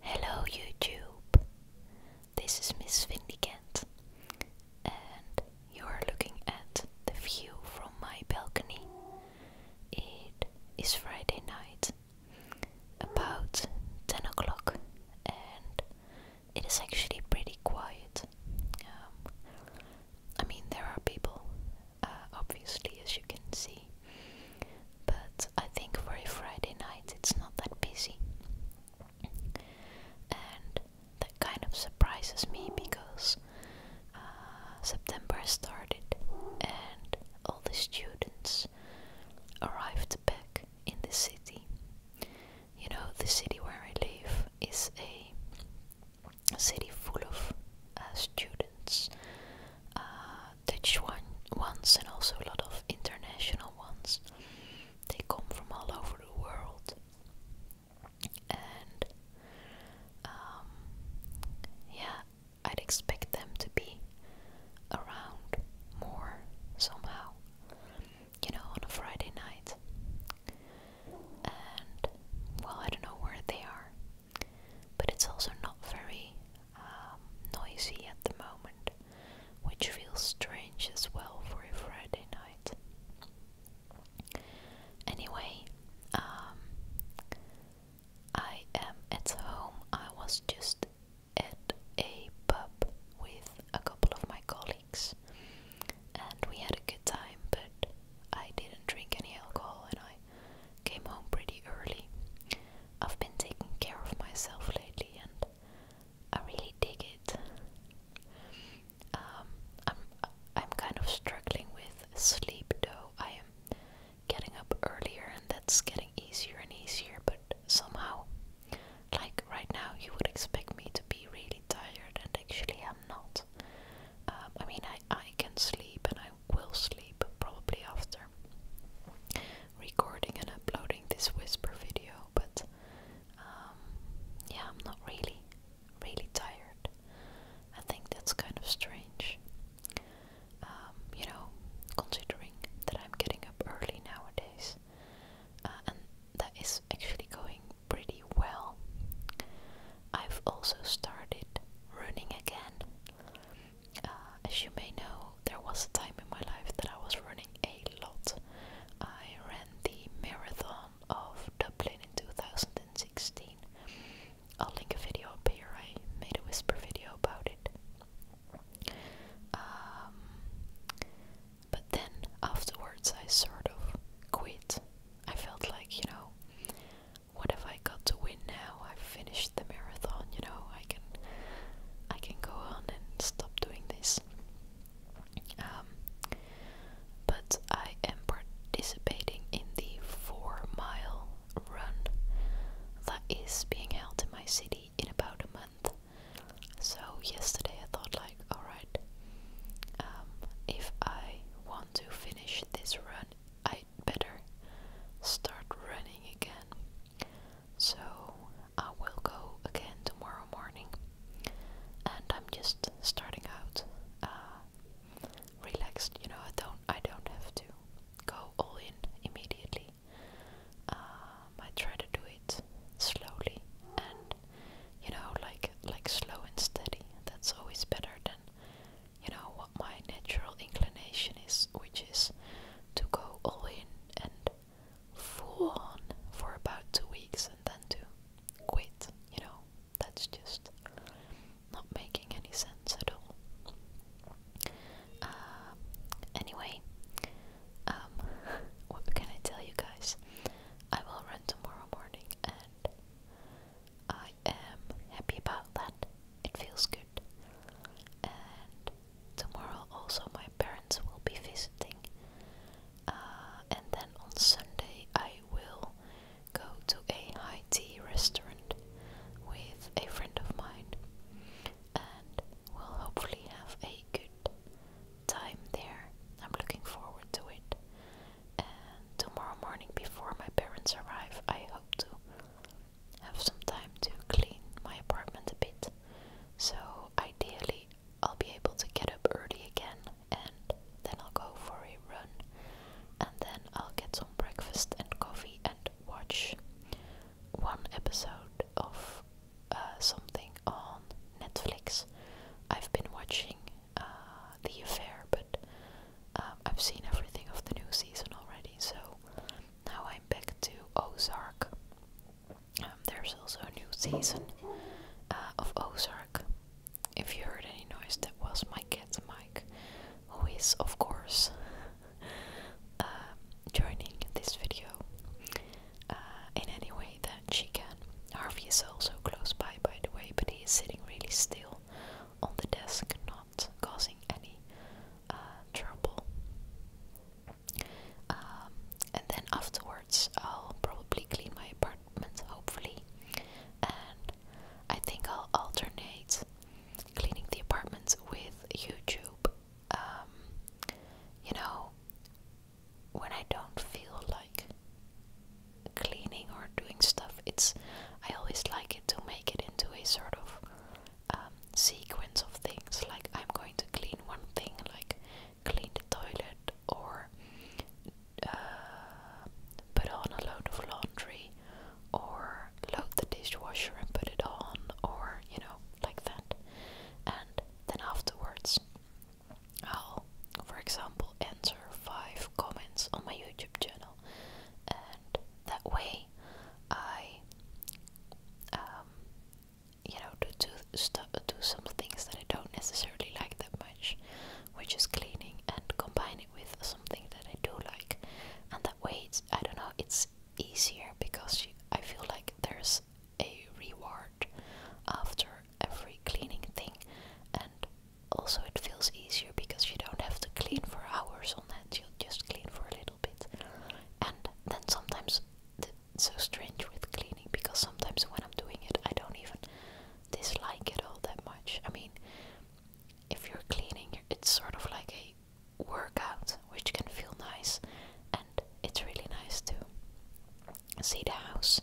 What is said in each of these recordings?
Hello YouTube, this is Miss Vindicant and you are looking at the view from my balcony. It is Friday night, about 10 o'clock and it is actually pretty quiet. Um, I mean there are people, uh, obviously as you can see, but I think for a Friday night it's not that busy. And that kind of surprises me because uh, September started and all the students arrived back in the city. You know, the city where I live is a city full of uh, students. Uh, Dutch one, ones and also a lot of international ones. They come from all over the world. And um, yeah, I'd expect them to be around more somehow, you know, on a Friday night. And well, I don't know where they are, but it's also not very um, noisy at the moment, which feels strange as well for a Friday night. Anyway, um, I am at home. I was just at a pub with a couple of my colleagues, and we had a good time, but I didn't drink any alcohol and I came home pretty early. I've been taking care of myself lately and I really dig it. Um, I'm I'm kind of struggling with sleep though. I am getting up earlier and that's getting easier and easier, but somehow like right now you would expect me to be really tired and actually I'm not. Um, I mean I, I can sleep and I will sleep probably after recording and uploading this whisper video, but um, yeah, I'm not really, really tired. I think that's kind of strange. Um, you know, considering that I'm getting up early nowadays, uh, and that is actually going pretty well. I've also started running again. Uh, as you may know, there was a time in my life that I was running a lot. I ran the marathon of Dublin in 2016. I'll link a video up here. I made a whisper video about it. Um, but then afterwards, I sort of quit. I felt like, you know, what have I got to win? now. I've finished the marathon, you know, I can I can go on and stop doing this. Um, but I am participating in the four mile run that is being held in my city in about a month. So yesterday I thought like, alright, um, if I want to finish this run, I better start running again. So I will go again tomorrow morning. And I'm just starting out uh, relaxed. You know, I don't I don't have to go all in immediately. Um, I try to do it slowly and you know, like like slow and steady. That's always better than you know what my natural inclination is, which is to go all in and full on for about two weeks and then to quit, you know, that's just not making any sense at all. Uh, anyway, um, what can I tell you guys? I will run tomorrow morning and I am happy about that. It feels good. And Tomorrow also my parents will be visiting. Uh, and then on Sunday I will go to a high tea restaurant with a friend of mine. And we'll hopefully have a good time there. I'm looking forward to it. And tomorrow morning, before my parents arrive, I hope to have some time to clean my apartment a bit. So, ideally, I'll be able to get up early again and then I'll go for a run and then I'll get some breakfast and coffee and watch one episode of uh, something on Netflix. I've been watching uh, The Affair, but um, I've seen everything of the new season already, so now I'm back to Ozark. Um, there's also a new season uh, of Ozark. If you heard any noise, that was my cat Mike, who is, of course, uh, joining this video uh, in any way that she can. Harvey is also close by, by the way, but he is sitting really still on the desk, causing any uh, trouble. Um, and then afterwards, I'll probably clean my apartment, hopefully. And I think I'll alternate cleaning the apartment with YouTube. Um, you know, when I don't feel like cleaning or doing stuff, it's I always like it to make it into a sort of um, sequence of things. Like I'm going to clean one thing, like clean the toilet or uh, put on a load of laundry, or load the dishwasher and put it on, or you know, like that. And then afterwards, I'll, for example, answer five comments on my YouTube channel, and that way I um, you know, to do stuff, do some things that I don't necessarily like that much, which is cleaning, and combine it with something that I do like, and that way, it's, I don't know, it's easier because I feel like there's a reward after every cleaning thing, and also it feels easier because you don't have to clean for hours on end; you just clean for a little bit. And then sometimes it's so strange with cleaning because sometimes when I'm doing it, I don't even dislike it all that much. I mean, if you're cleaning, it's sort of like a workout, which can feel nice, and it's really nice to see the house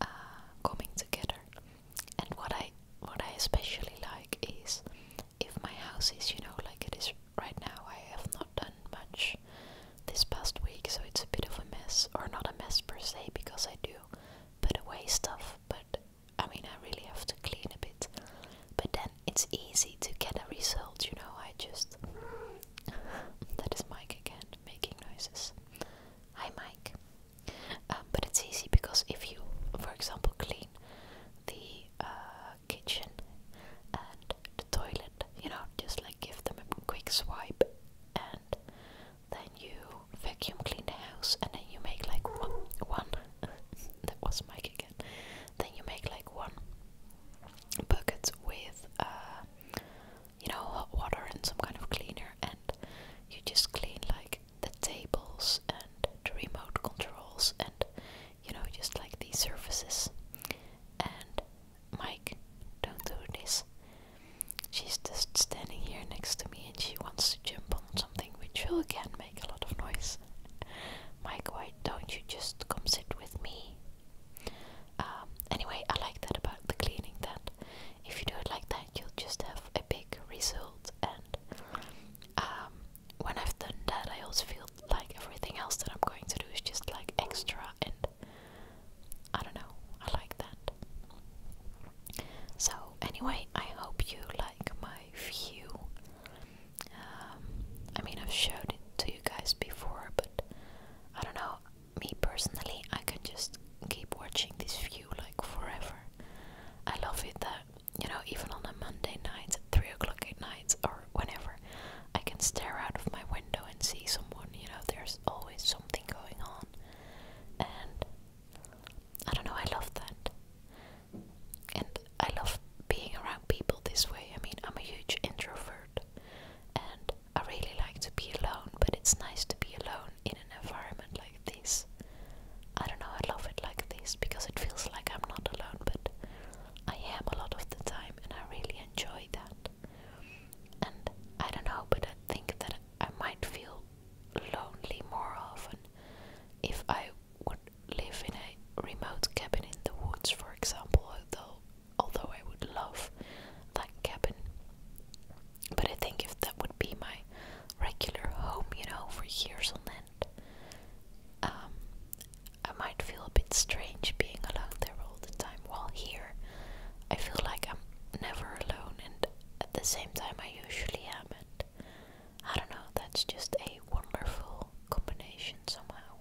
uh, coming together. And what I what I especially like is if my house is, you know, like it is right now, I have not done much this past week, so it's a bit of a mess, or not a mess per se, because I do put away stuff, but I mean, I really have to clean a bit. But then it's easy to get a result, you know. I just. that is Mike again, making noises. Hi, Mike. Um, but it's easy because if you, for example, clean the uh, kitchen and the toilet. You know, just like give them a quick swipe, and then you vacuum clean the house, and then you make like one. one that was Mike again. Then you make like one bucket with, uh, you know, hot water and some kind of cleaner, and you just clean like the tables and the remote controls and you know, just like these surfaces. And Mike, don't do this. She's just standing here next to me and she wants to jump on something which will again make a lot of noise. Mike, why don't you just come sit with me? Um, anyway, I like that about the cleaning that if you do it like that, you'll just have a big result and um, when I've done that, I also feel like everything else that I'm going to do is just like extra, and I don't know, I like that. So, anyway, I hope you like my view. Um, I mean, I've showed it to you guys before, but I don't know, me personally, I can just keep watching this view like forever. I love it that you know, even on a Monday night at three o'clock at night or whenever, I can stare out of my window and see someone. You know, there's always something going on, and I don't know. I love that, and I love being around people this way. I mean, I'm a huge introvert, and I really like to be alone. But it's nice to be alone in an environment like this. I don't know, I love it like this because it feels like I'm not alone, but I am a lot of the time and I really enjoy that. And I don't know, but I think that I might feel lonely more often if I would live in a remote cabin in the woods, for example, although, although I would love that cabin. But I think if that would be my regular home, you know, for years on end, um, I might feel a bit strange being alone there all the time, while here I feel like I'm never alone and at the same time I usually am, and I don't know, that's just a wonderful combination somehow.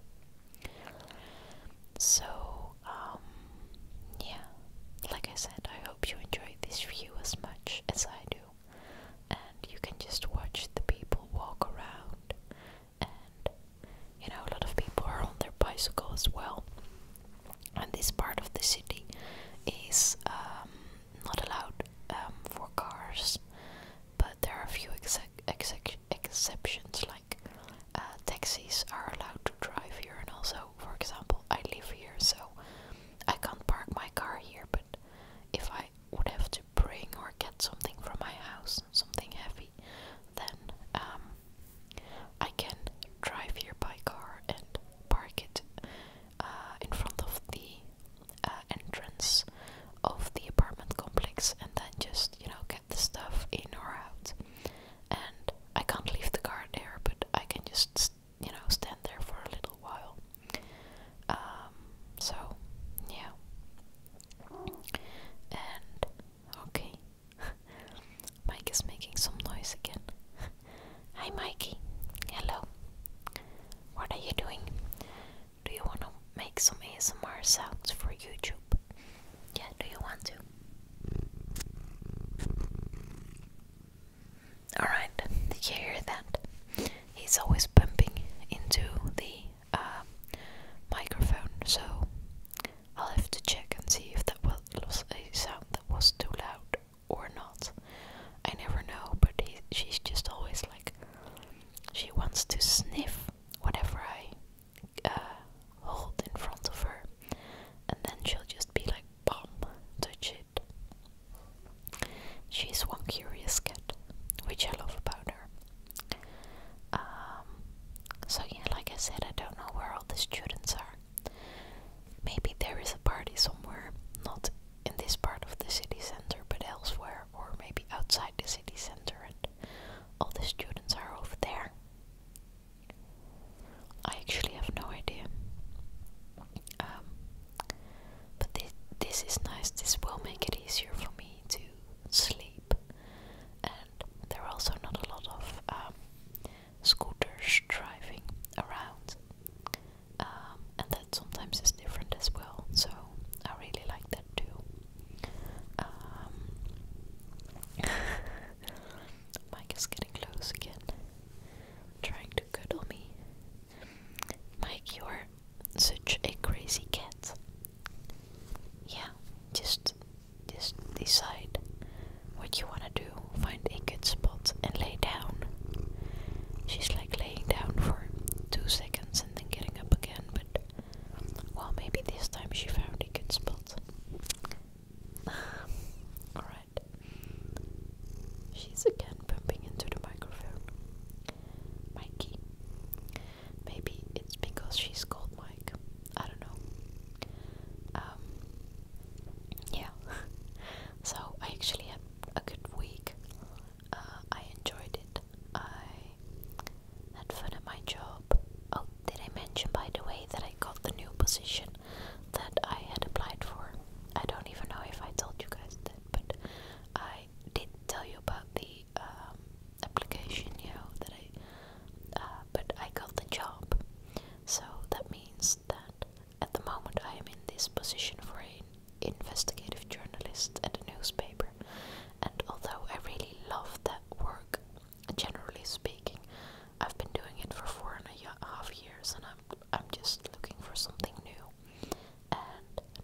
So, um, yeah, like I said, I hope you enjoyed this view as much as I do you, and you can just watch the people walk around. And you know, a lot of people are on their bicycle as well. And this part of the city is um, not allowed um, for cars, but there are a few ex ex exceptions, like uh, taxis are allowed to drive here. And also, for example, I live here, so I can't park my car here. But if I would have bring or get something from my house, something heavy, then um, I can drive here by car and park it uh, in front of the uh, entrance of the apartment complex and then just, you know, get the stuff in or out. And I can't leave the car there, but I can just, you know, stand there for a little while um, so, yeah. And, okay. Mike is making some noise again. Hi, Mikey. Hello. What are you doing? Do you want to make some ASMR sounds for YouTube? Yeah, do you want to? Alright, did you hear that? he's always bumping into the uh, microphone, so I'll have to check and see if that was a sound that was too loud or not. I never know, but she's just always like she wants to sniff whatever I uh, hold in front of her, and then she'll just be like, "Bomb, touch it." She's one curious cat, which I love about her. Um, so yeah, like I said, I don't know where all the students are. Maybe there is a party somewhere, not in this part of the city center, but elsewhere, or maybe outside the city center, and all the students are over there. I actually have no idea. Um, but this, this is nice, this will make it easier for me to sleep. And there are also not a lot of um, scooters driving around. Um, and that sometimes is different as well, so I really like that too. Um, Mike is getting close again, trying to cuddle me. Mike, you are such a crazy cat. Yeah, just just decide what you wanna do. Find a good spot and lay down. She's like laying down for two seconds and then getting up again, but well maybe this time she found a good spot. Alright. She's again bumping into the microphone. Mikey. Maybe it's because she's called Mike. I don't know. Um, yeah. so I actually had a good week. Uh, I enjoyed it. I had fun at my job. Oh, did I mention by the way that I got the new position that I had applied for? I don't even know if I told you guys that, but I I did tell you about the um, application, you know, that I, uh, but I got the job. So that means that at the moment I am in this position for an investigative journalist at a newspaper. And although I really love that work, generally speaking, I've been doing it for four and a half years, and I'm I'm just looking for something new. And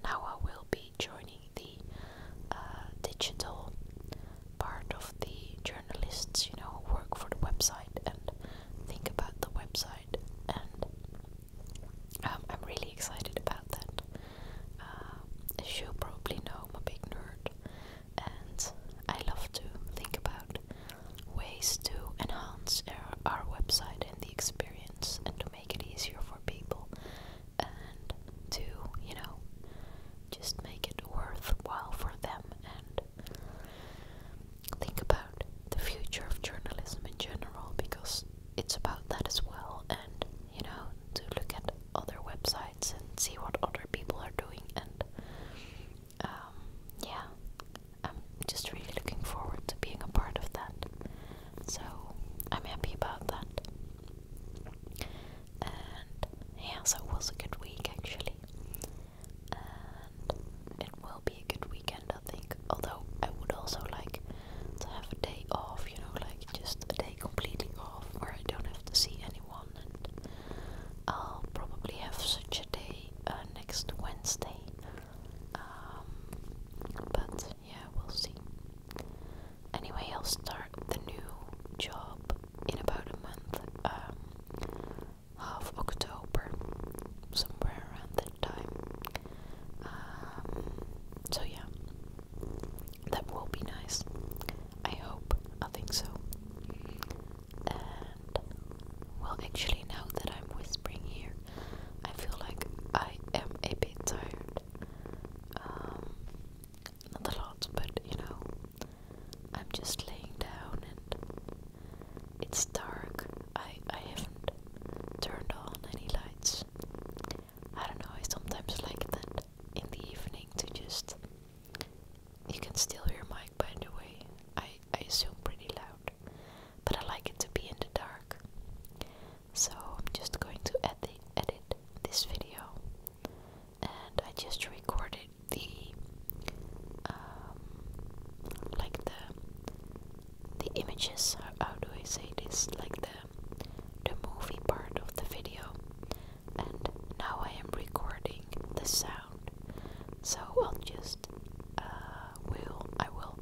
now I will be joining the uh, digital part of the journalists, you know, who work for the website and think about the website. And um, I'm really excited about that. Uh, as you probably know, I'm a big nerd, and I love to think about ways to enhance our, website and the experience and to make make it easier for people and to, you know, just make it worthwhile for them and think about the future of journalism in general because it's about that as well and, you know, to look at other websites and see what other people are doing and um, yeah, I'm just really looking forward to being a part of that. So I'm happy about that. And yeah, so it was a good week actually. And it will be a good weekend, I think. Although I would also like to have a day off, you know, like just a day completely off where I don't have to see anyone. And I'll probably have such a day uh, next Wednesday. Um, but yeah, we'll see. Anyway, I'll start the new job in about a month, um, half October, somewhere around that time. Um, so yeah, that will be nice. I hope. I think so. And well, actually, now that I'm whispering here, I feel like I am a bit tired. Um, not a lot, but you know, I'm just laying down and it's dark. I, I haven't turned on any lights. I don't know, I sometimes like that in the evening to just. You can still hear my mic, by the way. I, I assume pretty loud. But I like it to be in the dark. So I'm just going to edit, edit this video, and I just recorded the um, like the the images. How, do I say this? Like the the movie part of the video, and now I am recording the sound. So I'll just. Uh, will I will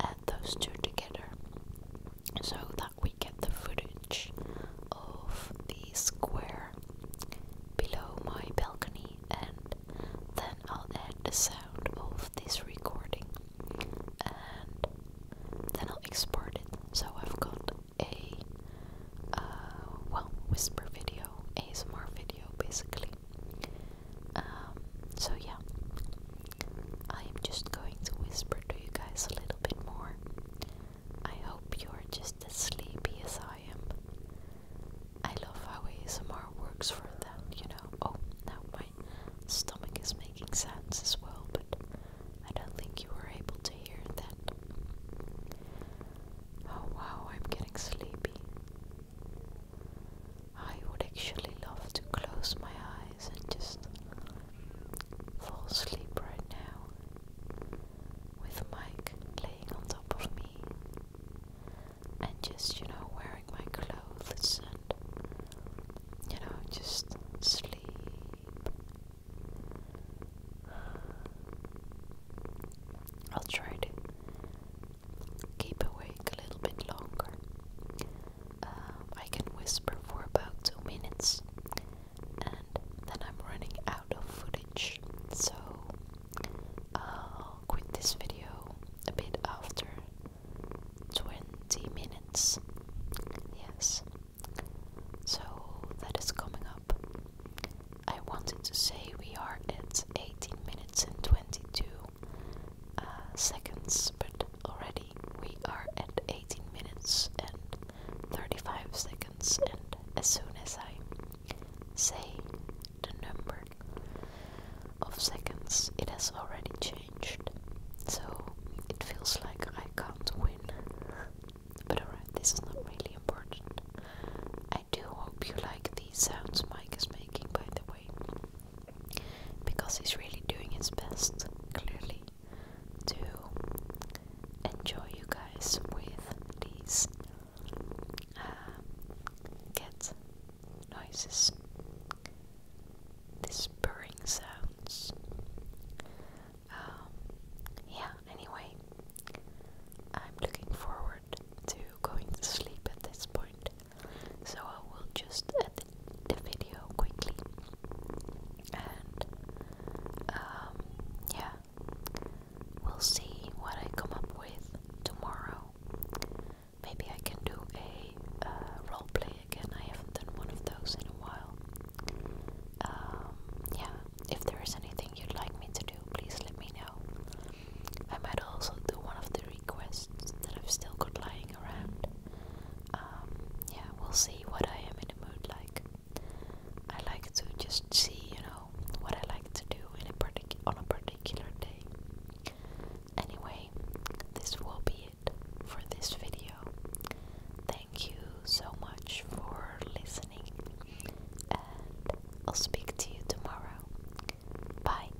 add those two together so that we get the footage of the square below my balcony and then I'll add the sound of this recording and then I'll export it so I've got a uh, well whisper video ASMR video basically um, so, yeah, I am just going to whisper to you guys a little bit more. I hope you're just as sleepy as I am. I love how ASMR works for that, you know. Oh, now my stomach is making sounds as well, but I don't think you were able to hear that. Oh wow, I'm getting sleepy. I would actually love to close my eyes and just fall asleep right now with Mike laying on top of me and just, you know, wearing my clothes and, you know, just sleep. I'll try to keep awake a little bit longer uh, I can whisper for about two minutes and then I'm running out of footage so I'll quit this video a bit after 20 minutes yes so that is coming up I wanted to say we are at 18 minutes and 22 uh, seconds, but already we are at 18 minutes and 35 seconds, and as soon as I say the number of seconds, it has already changed. So it feels like I can't win. But alright, this is not really important. I do hope you like the sounds Mike is making, by the way because he's really doing his best, clearly, to enjoy you guys with these cat uh, noises, these purring sounds. Um, yeah, anyway, I'm looking forward to going to sleep at this point so I will just edit the video quickly and um, yeah we'll see what I come up with tomorrow maybe I can do a uh, roleplay again I haven't done one of those in a while um, yeah if there is anything you'd like me to do please let me know I might also do one of the requests that I've still got lying um, yeah, we'll see what I am in the mood like. I like to just see, you know, what I like to do on a particular day. Anyway, this will be it for this video. Thank you so much for listening, and I'll speak to you tomorrow. Bye.